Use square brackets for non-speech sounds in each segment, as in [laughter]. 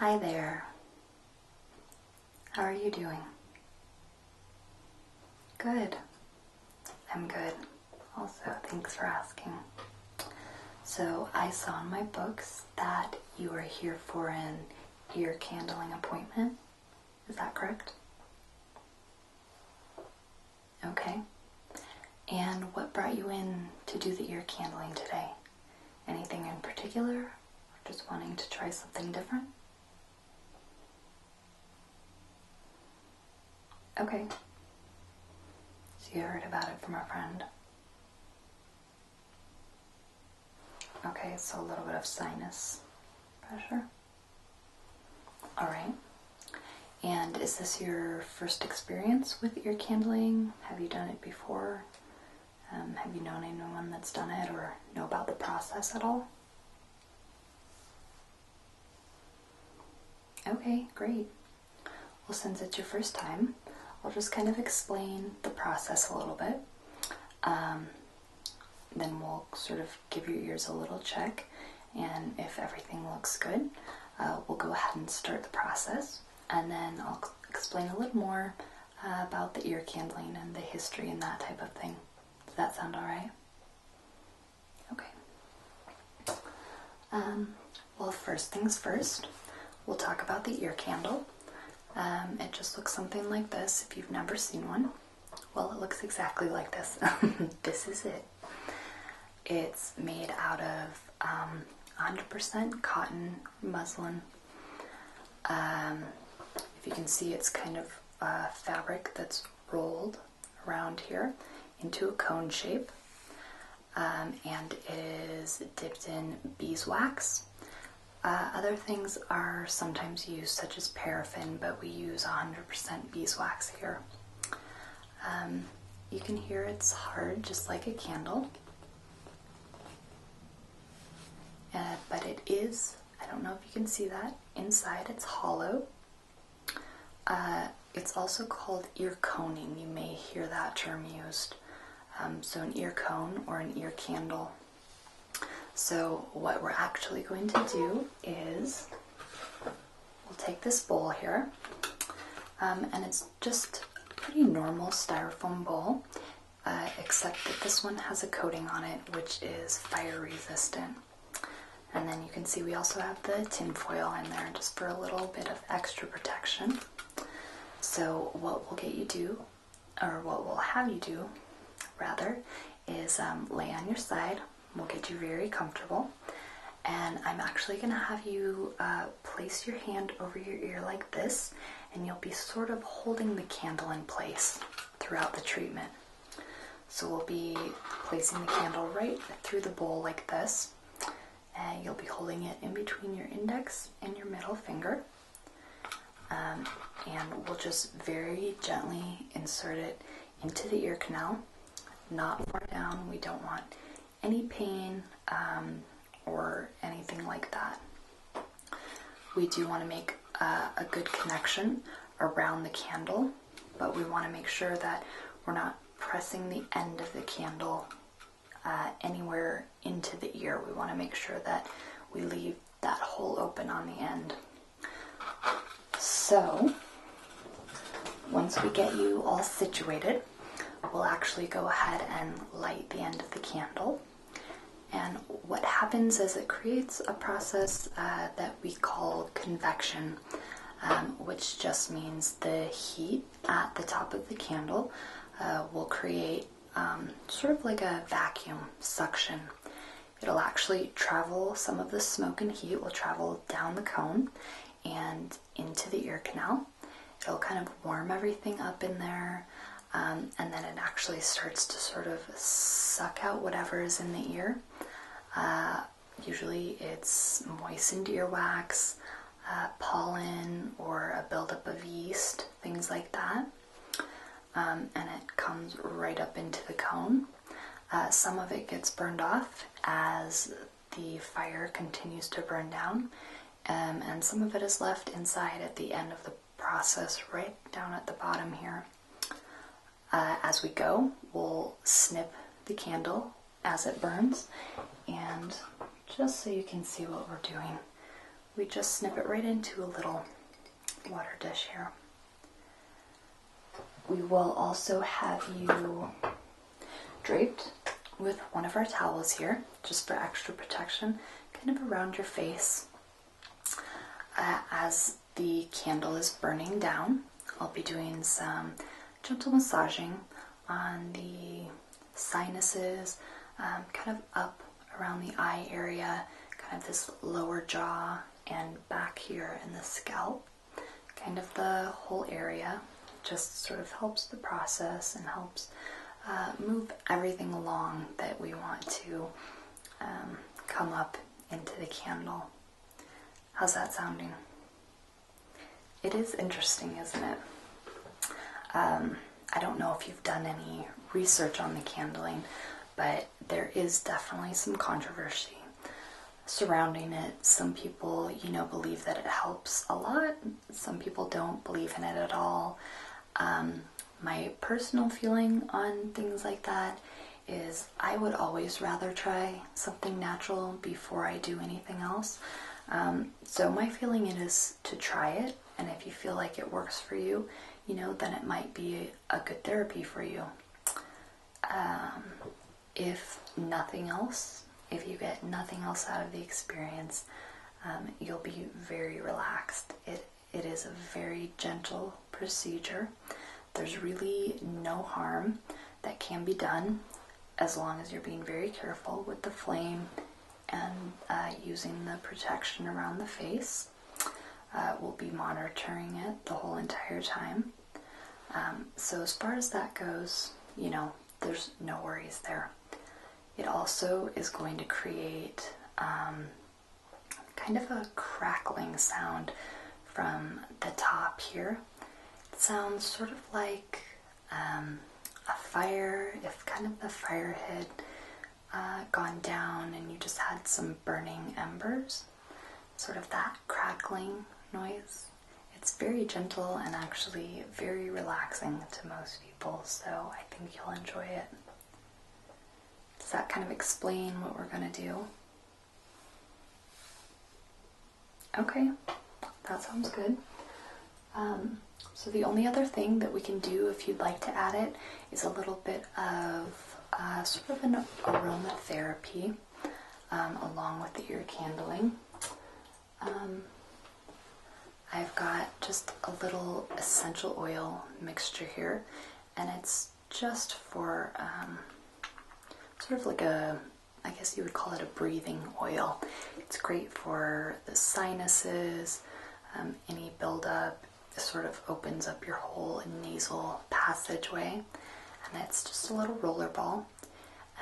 Hi there. How are you doing? Good. I'm good. Also, thanks for asking. So, I saw in my books that you are here for an ear candling appointment. Is that correct? Okay. And what brought you in to do the ear candling today? Anything in particular? Or just wanting to try something different? Okay. So you heard about it from a friend. Okay, so a little bit of sinus pressure. All right. And is this your first experience with ear candling? Have you done it before? Um, have you known anyone that's done it or know about the process at all? Okay, great. Well, since it's your first time, I'll just kind of explain the process a little bit. Um, then we'll sort of give your ears a little check, and if everything looks good, uh, we'll go ahead and start the process. And then I'll explain a little more uh, about the ear candling and the history and that type of thing. Does that sound alright? Okay. Um, well, first things first, we'll talk about the ear candle. Um, it just looks something like this if you've never seen one. Well, it looks exactly like this. [laughs] this is it. It's made out of 100% um, cotton muslin. Um, if you can see, it's kind of a fabric that's rolled around here into a cone shape. Um, and it is dipped in beeswax. Uh, other things are sometimes used, such as paraffin, but we use 100% beeswax here. Um, you can hear it's hard, just like a candle, uh, but it is. I don't know if you can see that. Inside, it's hollow. Uh, it's also called ear coning. You may hear that term used. Um, so an ear cone or an ear candle. So, what we're actually going to do is we'll take this bowl here, um, and it's just a pretty normal styrofoam bowl, uh, except that this one has a coating on it which is fire resistant. And then you can see we also have the tin foil in there just for a little bit of extra protection. So, what we will get you do, or what we will have you do, rather, is um, lay on your side. We'll get you very comfortable. And I'm actually going to have you uh, place your hand over your ear like this, and you'll be sort of holding the candle in place throughout the treatment. So we'll be placing the candle right through the bowl like this, and you'll be holding it in between your index and your middle finger. Um, and we'll just very gently insert it into the ear canal, not far down. We don't want any pain um, or anything like that. We do want to make uh, a good connection around the candle, but we want to make sure that we're not pressing the end of the candle uh, anywhere into the ear. We want to make sure that we leave that hole open on the end. So, once we get you all situated, we'll actually go ahead and light the end of the candle. And what happens is it creates a process uh, that we call convection, um, which just means the heat at the top of the candle uh, will create um, sort of like a vacuum suction. It'll actually travel some of the smoke and heat will travel down the cone and into the ear canal. It'll kind of warm everything up in there, um, and then it actually starts to sort of suck out whatever is in the ear. Uh, usually, it's moistened earwax, uh, pollen or a buildup of yeast, things like that. Um, and it comes right up into the cone. Uh, some of it gets burned off as the fire continues to burn down, um, and some of it is left inside at the end of the process, right down at the bottom here. Uh, as we go, we'll snip the candle as it burns. And just so you can see what we're doing, we just snip it right into a little water dish here. We will also have you draped with one of our towels here, just for extra protection, kind of around your face uh, as the candle is burning down. I'll be doing some gentle massaging on the sinuses, um, kind of up around the eye area, kind of this lower jaw, and back here in the scalp. Kind of the whole area just sort of helps the process and helps uh, move everything along that we want to um, come up into the candle. How's that sounding? It is interesting, isn't it? Um, I don't know if you've done any research on the candling, but there is definitely some controversy surrounding it. Some people, you know, believe that it helps a lot, some people don't believe in it at all. Um, my personal feeling on things like that is I would always rather try something natural before I do anything else. Um, so my feeling it is to try it and if you feel like it works for you you know then it might be a good therapy for you um, if nothing else if you get nothing else out of the experience um, you'll be very relaxed it it is a very gentle procedure there's really no harm that can be done as long as you're being very careful with the flame and uh, using the protection around the face. Uh, we'll be monitoring it the whole entire time. Um, so, as far as that goes, you know, there's no worries there. It also is going to create um, kind of a crackling sound from the top here. It sounds sort of like um, a fire, if kind of the fire had uh, gone down and you just had some burning embers, sort of that crackling noise. It's very gentle and actually very relaxing to most people, so I think you'll enjoy it. Does that kind of explain what we're going to do? Okay, that sounds good. Um, so the only other thing that we can do if you'd like to add it is a little bit of uh, sort of an aromatherapy um, along with the ear candling. Um, I've got just a little essential oil mixture here and it's just for um, sort of like a I guess you would call it a breathing oil. It's great for the sinuses, um, any buildup. It sort of opens up your whole nasal passageway. And it's just a little roller ball.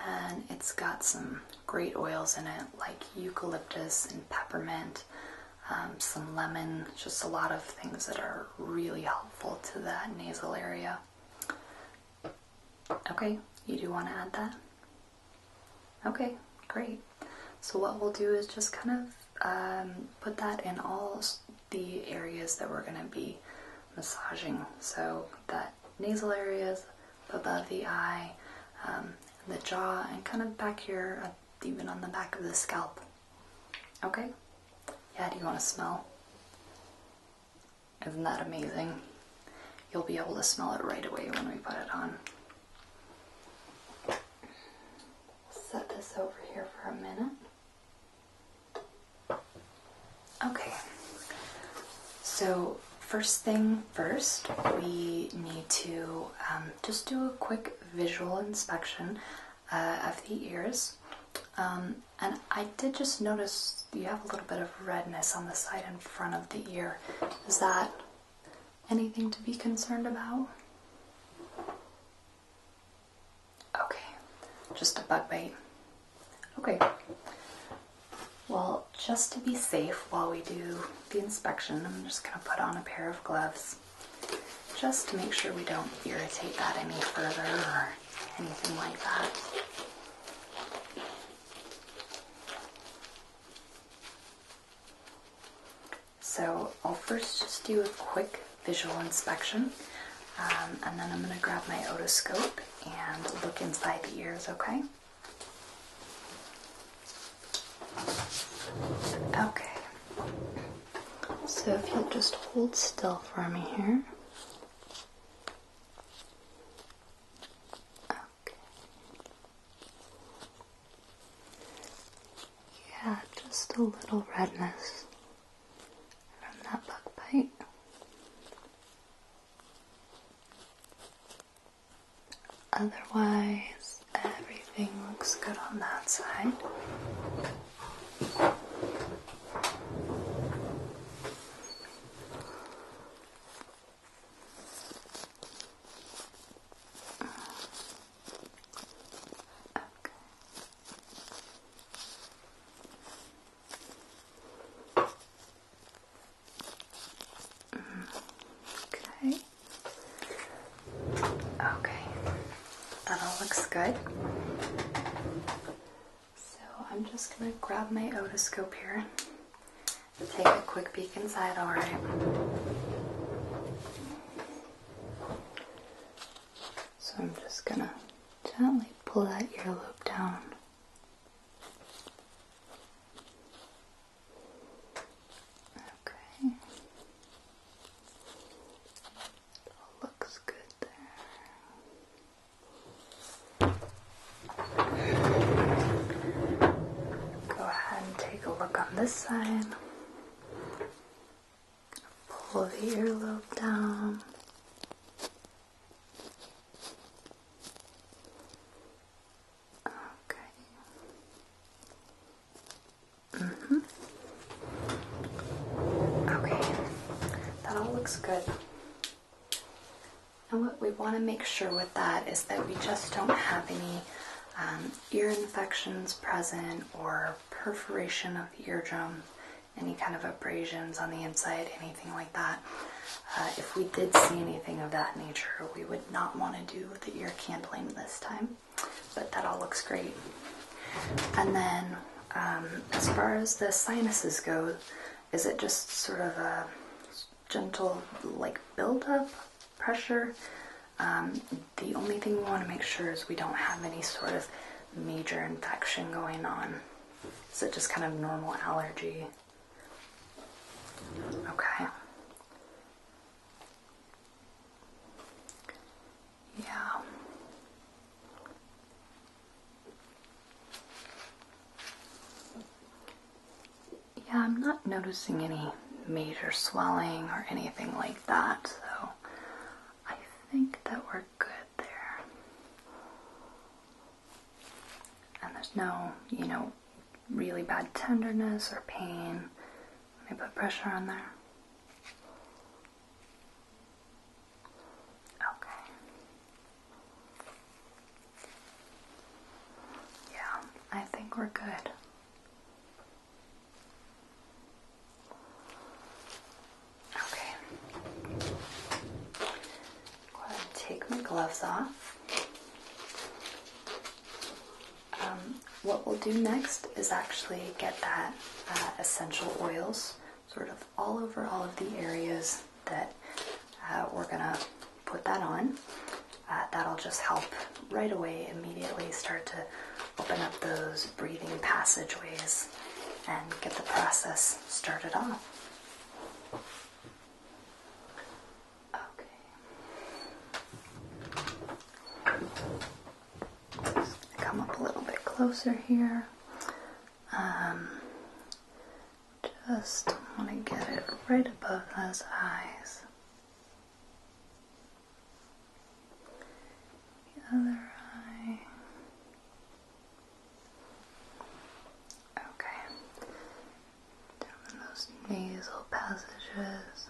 And it's got some great oils in it, like eucalyptus and peppermint, um, some lemon, just a lot of things that are really helpful to that nasal area. Okay, you do want to add that? Okay, great. So what we'll do is just kind of um, put that in all the areas that we're going to be massaging. So that nasal areas, above the eye, um, the jaw, and kind of back here, uh, even on the back of the scalp. Okay? Yeah, do you want to smell? Isn't that amazing? You'll be able to smell it right away when we put it on. Set this over here for a minute. Okay, so first thing first, we need to um, just do a quick visual inspection uh, of the ears. Um, and I did just notice you have a little bit of redness on the side in front of the ear. Is that anything to be concerned about? Okay, just a bug bite. Okay. Well, just to be safe while we do the inspection, I'm just going to put on a pair of gloves just to make sure we don't irritate that any further or anything like that. So I'll first just do a quick visual inspection um, and then I'm going to grab my otoscope and look inside the ears, okay? Okay. So if you'll just hold still for me here. Yeah, just a little redness from that bug bite. Otherwise, everything looks good on that side. Mm, okay. Okay. That all looks good. So I'm just going to grab my otoscope here and take a quick peek inside, alright? So I'm just going to gently pull that earlobe down. Okay. looks good there. Go ahead and take a look on this side. Pull the earlobe down. Okay. Mm -hmm. Okay. That all looks good. And what we want to make sure with that is that we just don't have any um, ear infections present or perforation of the eardrum, any kind of abrasions on the inside, anything like that. Uh, if we did see anything of that nature, we would not want to do the ear candling this time, but that all looks great. And then, um, as far as the sinuses go, is it just sort of a gentle like build-up pressure? Um, the only thing we want to make sure is we don't have any sort of major infection going on. Is just kind of normal allergy? Okay. Yeah. Yeah, I'm not noticing any major swelling or anything like that, so I think that we're good there. And there's no, you know, really bad tenderness or pain when I put pressure on there. Okay. Yeah, I think we're good. Okay. Go ahead and take my gloves off. Um, what we'll do next is actually get that uh, essential oils sort of all over all of the areas that uh, we're gonna put that on. Uh, that'll just help right away immediately start to open up those breathing passageways and get the process started off. Okay. come up a little bit closer here. Um, just want to get it right above those eyes. The other eye. Okay. Down those nasal passages.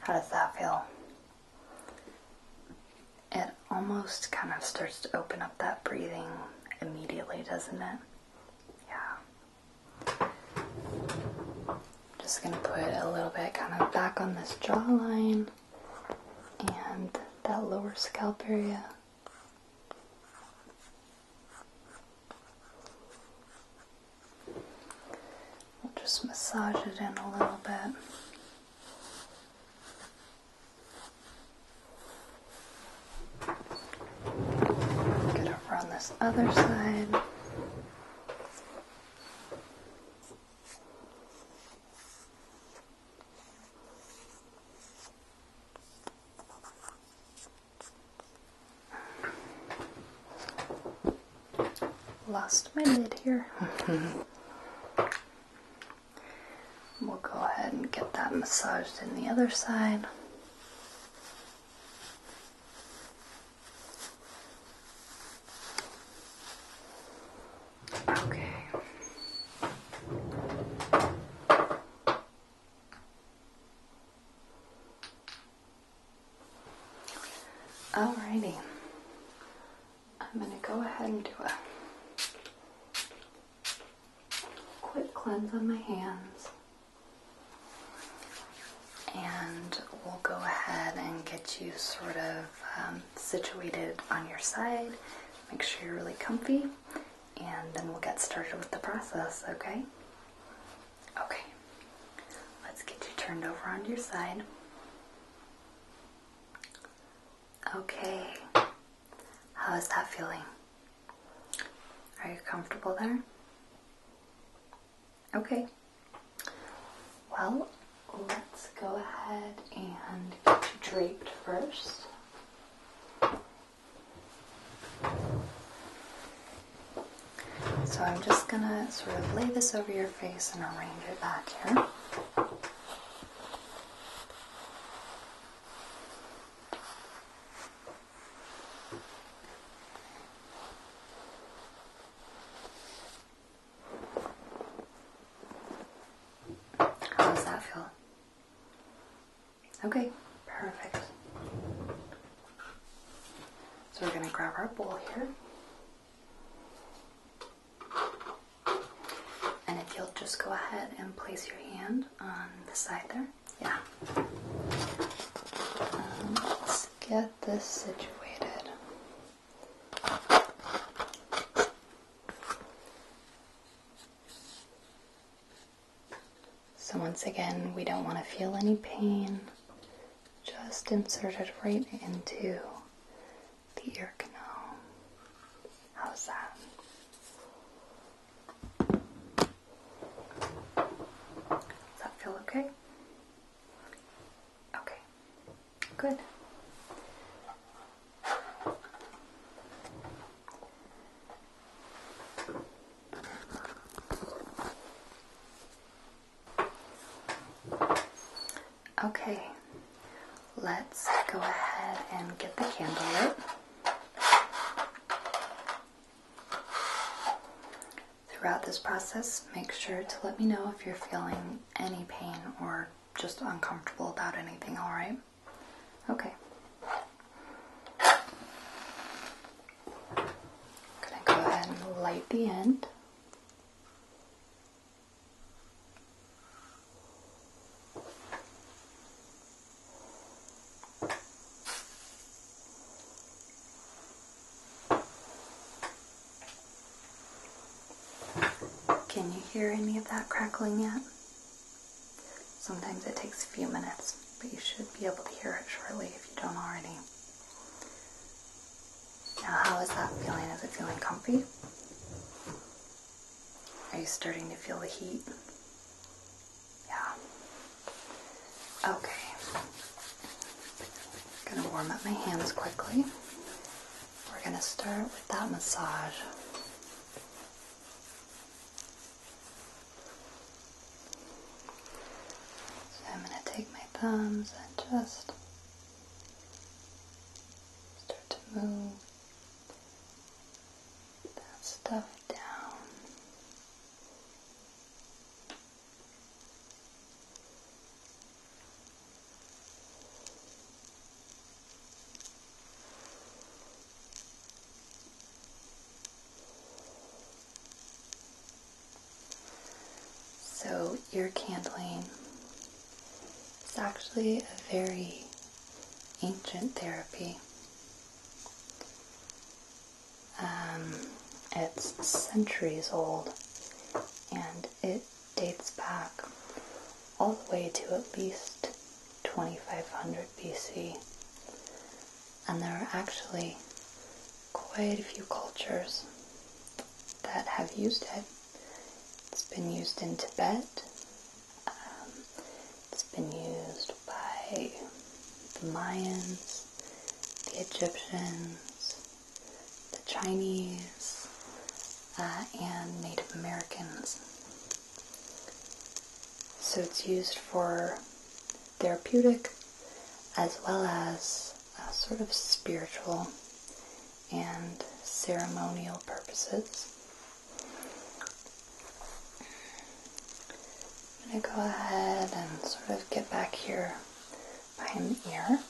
How does that feel? It almost kind of starts to open up that breathing immediately, doesn't it? Yeah. I'm just going to put a little bit kind of back on this jawline and that lower scalp area. We'll just massage it in a little bit. Get over on this other side. Lost my lid here. [laughs] we'll go ahead and get that massaged in the other side. Okay. Alrighty. I'm going to go ahead and do a quick cleanse on my hands. And we'll go ahead and get you sort of um, situated on your side. Make sure you're really comfy, and then we'll get started with the process, okay? Okay, let's get you turned over on your side. Okay, how is that feeling? Are you comfortable there? Okay. Well, let's go ahead and get you draped first. So I'm just gonna sort of lay this over your face and arrange it back here. How does that feel? Okay, perfect. So we're going to grab our bowl here. And if you'll just go ahead and place your hand on the side there. Yeah. Um, let's get this situated. So, once again, we don't want to feel any pain, just insert it right into the ear canal. How's that? Does that feel okay? Okay, good. Okay, let's go ahead and get the candle lit. Throughout this process, make sure to let me know if you're feeling any pain or just uncomfortable about anything, alright? Okay. gonna go ahead and light the end. Can you hear any of that crackling yet? Sometimes it takes a few minutes, but you should be able to hear it shortly if you don't already. Now, how is that feeling? Is it feeling comfy? Are you starting to feel the heat? Yeah, Okay. I'm gonna warm up my hands quickly. We're gonna start with that massage. So I'm gonna take my thumbs and just start to move that stuff down. So, ear candling is actually a very ancient therapy. Um, it's centuries old and it dates back all the way to at least 2500 BC. And there are actually quite a few cultures that have used it. It's been used in Tibet, um, it's been used by the Mayans, the Egyptians, the Chinese, uh, and Native Americans. So it's used for therapeutic as well as sort of spiritual and ceremonial purposes. I'm going to go ahead and sort of get back here behind the ear.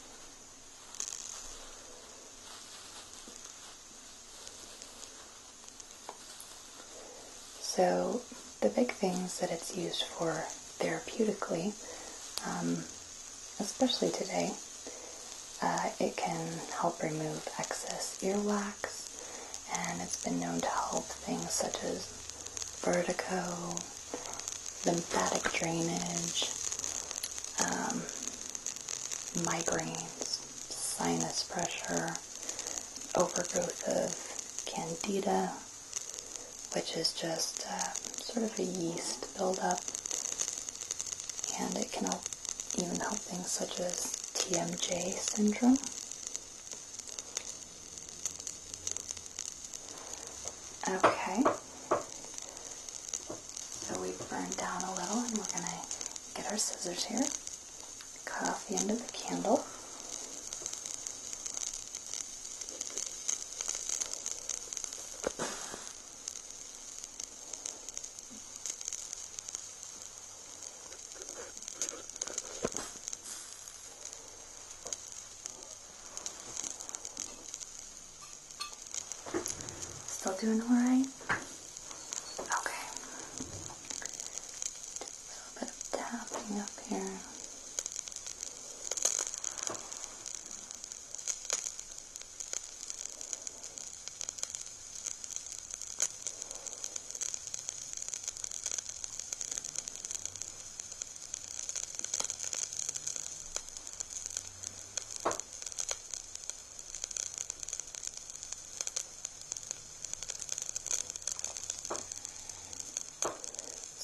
So the big things that it's used for therapeutically, um, especially today, uh, it can help remove excess earwax, and it's been known to help things such as vertigo, lymphatic drainage, um, migraines, sinus pressure, overgrowth of candida, which is just uh, sort of a yeast buildup, and it can help, even help things such as TMJ syndrome. Okay. So we've burned down a little and we're going to get our scissors here. Cut off the end of the candle. Still doing all right? Okay. Do a bit tapping up here.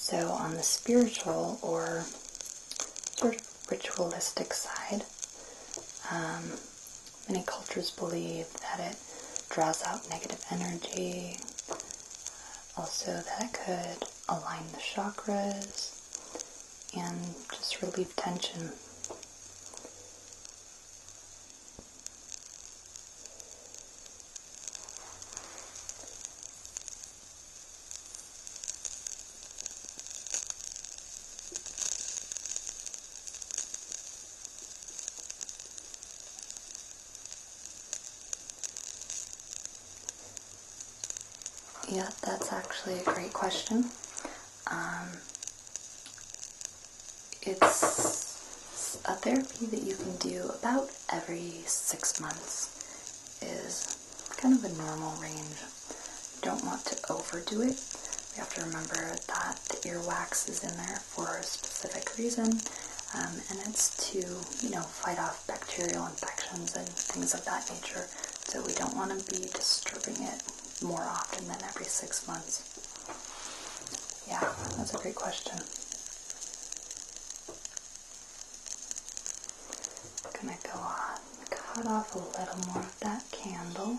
So, on the spiritual or ritualistic side, um, many cultures believe that it draws out negative energy, also, that could align the chakras and just relieve tension. Yeah, that's actually a great question. Um, it's a therapy that you can do about every six months is kind of a normal range. don't want to overdo it. We have to remember that the earwax is in there for a specific reason, um, and it's to, you know, fight off bacterial infections and things of that nature. So we don't want to be disturbing it more often than every six months. Yeah, that's a great question. I'm gonna go cut off a little more of that candle.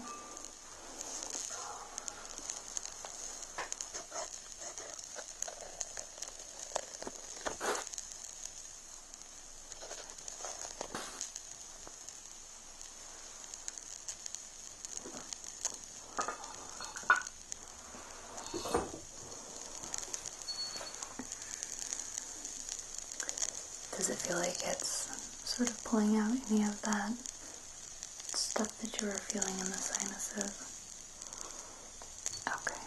Does it feel like it's sort of pulling out any of that stuff that you were feeling in the sinuses? Okay.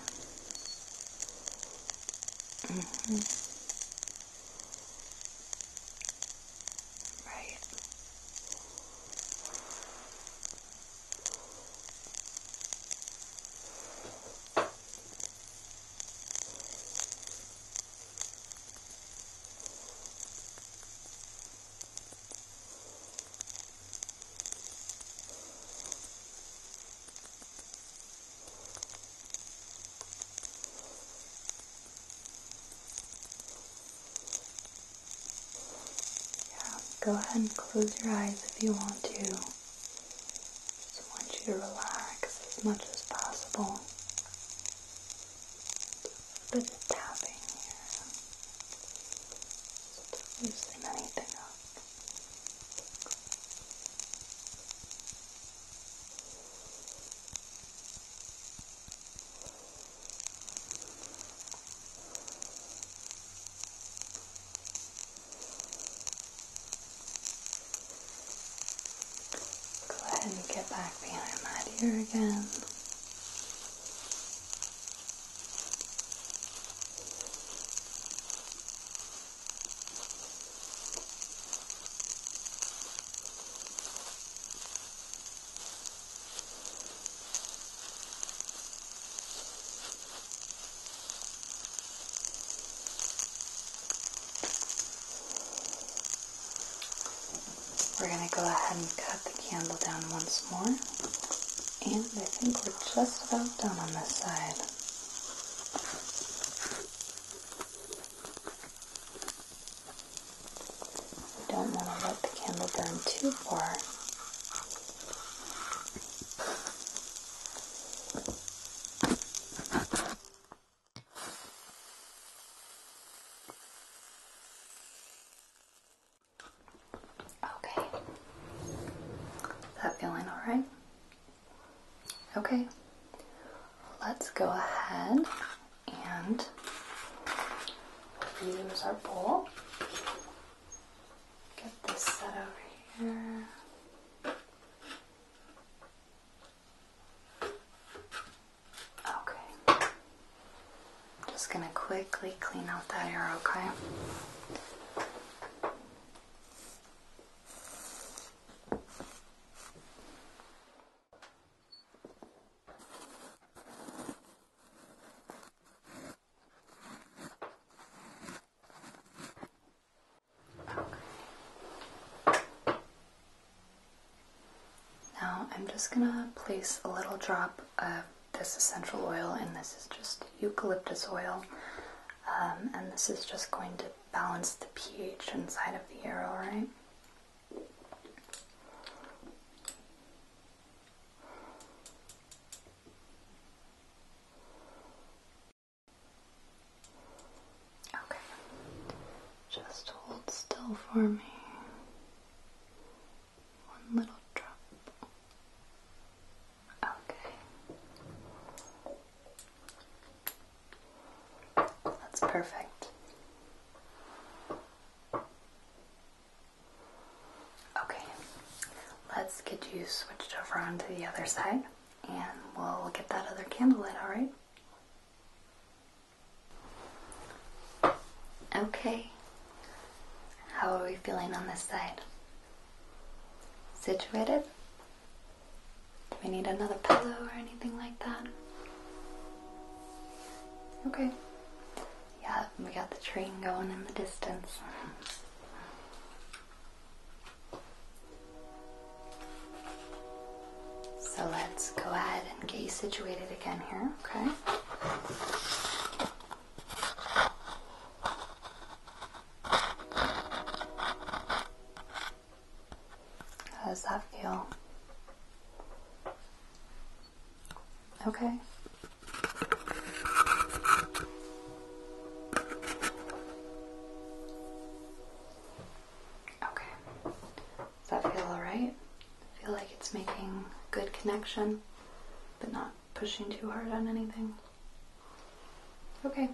Mm -hmm. Right. Yeah, go ahead and close your eyes if you want to. Just want you to relax as much as possible. a bit of tapping here loosen anything Go ahead and get back behind that ear again. We're going to go ahead and cut the candle down once more, and I think we're just about done on this side. We don't want to let the candle burn too far. Okay. that feeling alright? Okay. Let's go ahead and use our bowl. Get this set over here. Okay. I'm just going to quickly clean out that area, Okay. Now I'm just going to place a little drop of this essential oil and this is just eucalyptus oil. Um, and this is just going to balance the pH inside of the arrow, right? Okay, just hold still for me. One little drop. Okay. That's perfect. Okay, let's get you switched over onto the other side and we'll get that other candle lit, alright? Okay, how are we feeling on this side? Situated? Do we need another pillow or anything like that? Okay. Yeah, we got the train going in the distance. So let's go ahead and get you situated again here, okay? How does that feel? Okay. Okay. Does that feel alright? I feel like it's making good connection but not pushing too hard on anything. Okay.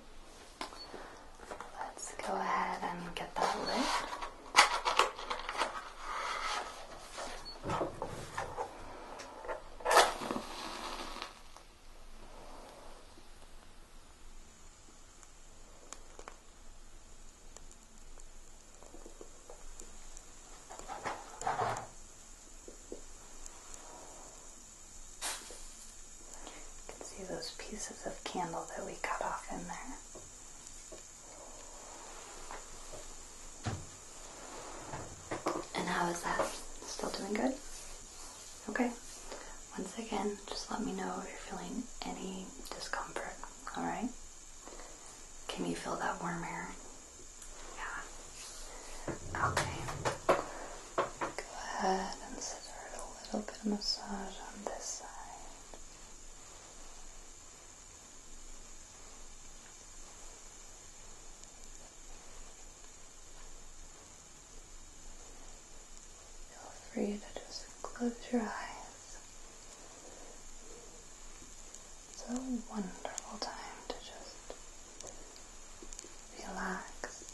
Let's go ahead and get that lift. You can see those pieces of candle that we cut off in there. And how is that? Still doing good? Okay. Once again, just let me know if you're feeling any discomfort, alright? Can you feel that warm air? Yeah. Okay. Go ahead and start a little bit of massage on this side. Feel free to just close your eyes. It's a wonderful time to just relax.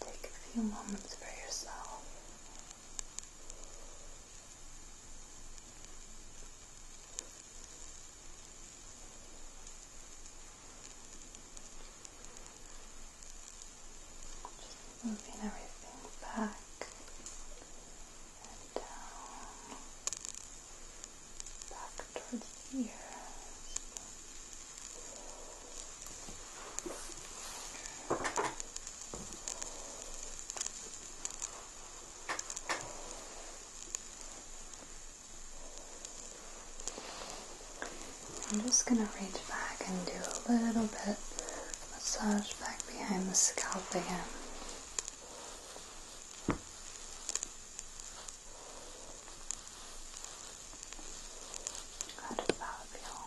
Take a few moments for yourself. Just moving everything back and down back towards here. I'm just going to reach back and do a little bit massage back behind the scalp again. How does that feel?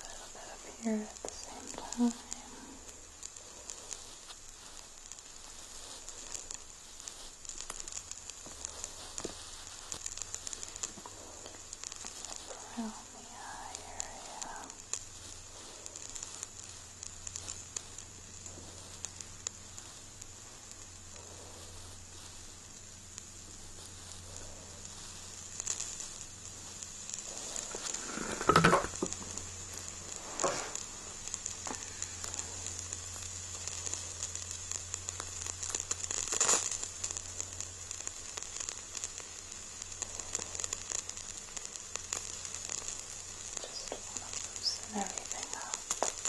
A little bit here at the same time. From the eye area. Just want to loosen everything up. Just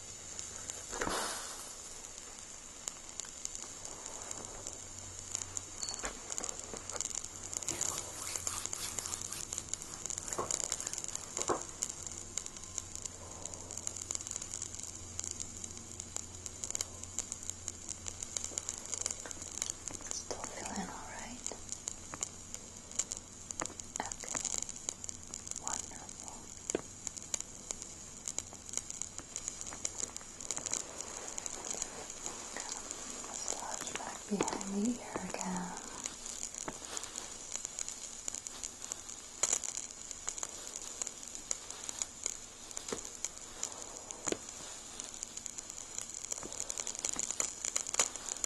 Still feeling all right. Okay. Wonderful. Massage back behind the ear again.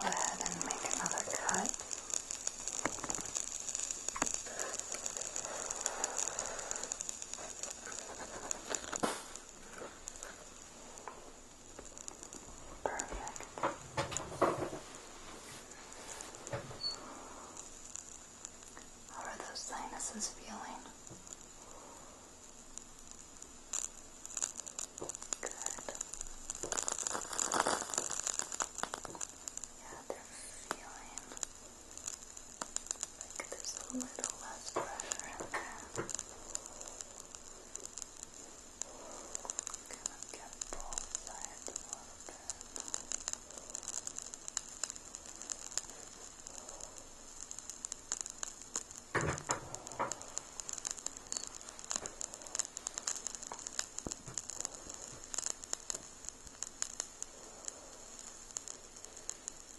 Go ahead and make another cut. Perfect. How are those sinuses feeling? Good. Yeah, they're feeling like there's a little less pressure in there. Kind of get both sides a little bit. Okay.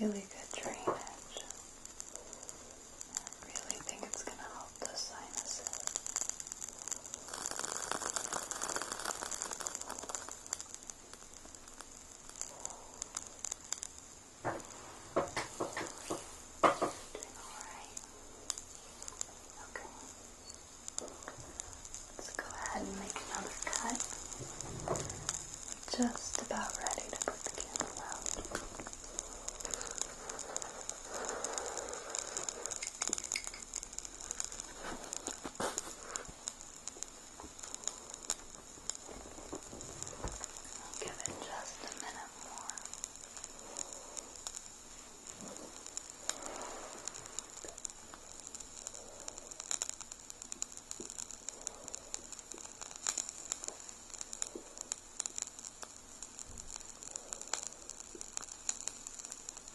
Really good. you're gonna get really good drainage. I really think it's gonna help the sinuses. Doing all right. Okay. Let's go ahead and make another cut. Just about ready to put the candle out. I'll give it just a minute more.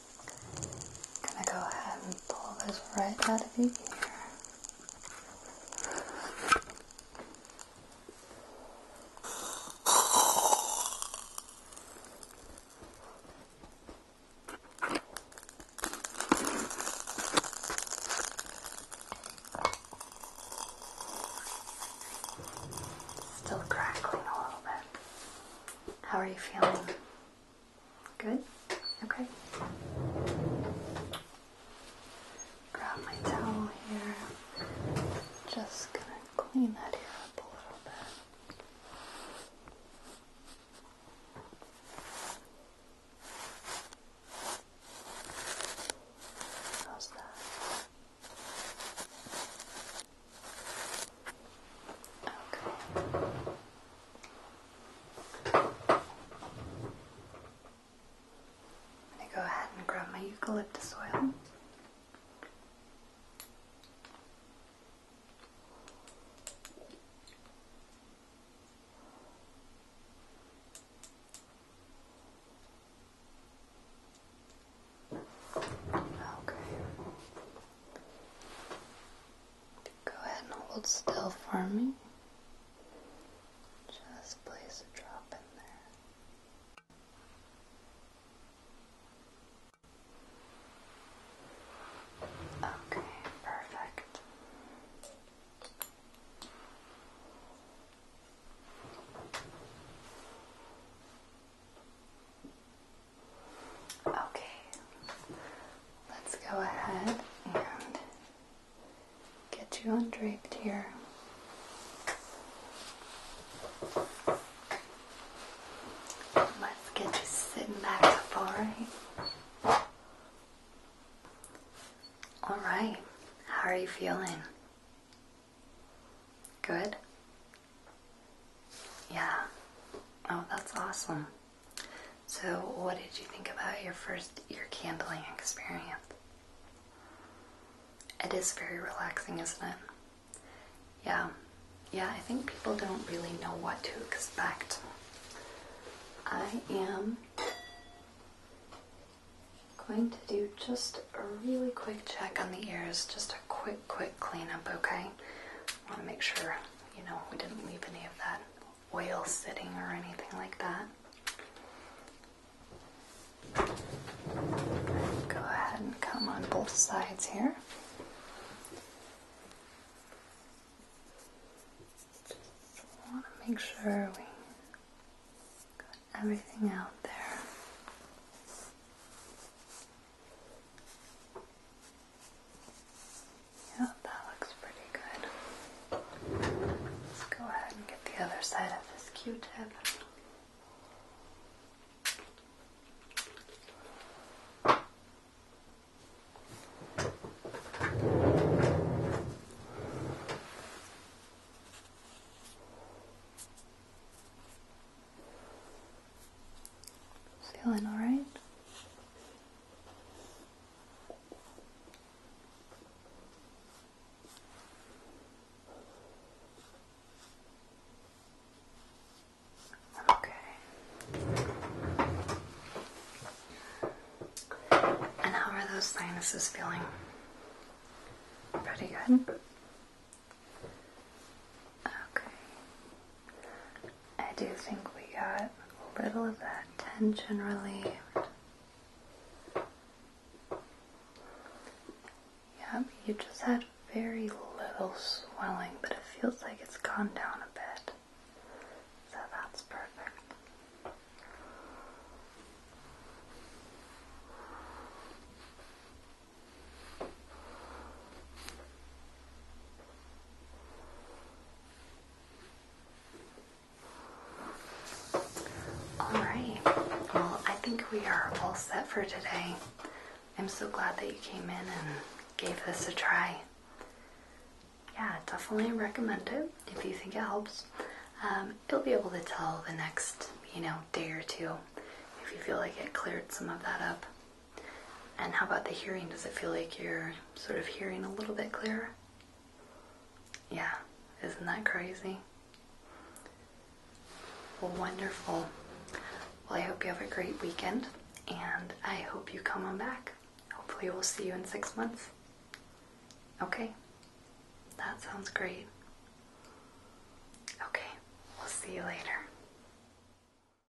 I'm gonna go ahead and pull this right out of your ear. Still crackling a little bit. How are you feeling? Good? Okay. Grab my towel here. Just gonna clean that up a little bit. How's that? Okay. I'm going to go ahead and grab my eucalyptus oil. Okay. Go ahead and hold still for me. Just place a drop in there. Okay, perfect. Okay, let's go ahead and get you undraped here. Let's get you sitting back up, alright? Alright, how are you feeling? Good? Yeah. Oh, that's awesome. So, what did you think about your first ear candling experience? It is very relaxing, isn't it? Yeah. Yeah, I think people don't really know what to expect. I am going to do just a really quick check on the ears, just a quick, quick cleanup, okay? want to make sure you know, we didn't leave any of that oil sitting or anything like that. Go ahead and come on both sides here. Just want to make sure we got everything out there. Yeah, that looks pretty good. Let's go ahead and get the other side of this Q-tip. Feeling all right? Okay. And how are those sinuses feeling? Pretty good. Mm-hmm. Okay. I do think we got a little of that tension relief. Yep, you just had very little swelling, but it feels like it's gone down a bit. So that's perfect. All right. Well, I think we are all set for today. I'm so glad that you came in and gave this a try. Yeah, definitely recommend it if you think it helps. Um, you'll be able to tell the next, you know, day or two if you feel like it cleared some of that up. And how about the hearing? Does it feel like you're sort of hearing a little bit clearer? Yeah, isn't that crazy? Well, wonderful. Well, I hope you have a great weekend and I hope you come on back. Hopefully, we'll see you in six months. Okay, that sounds great. Okay, we'll see you later.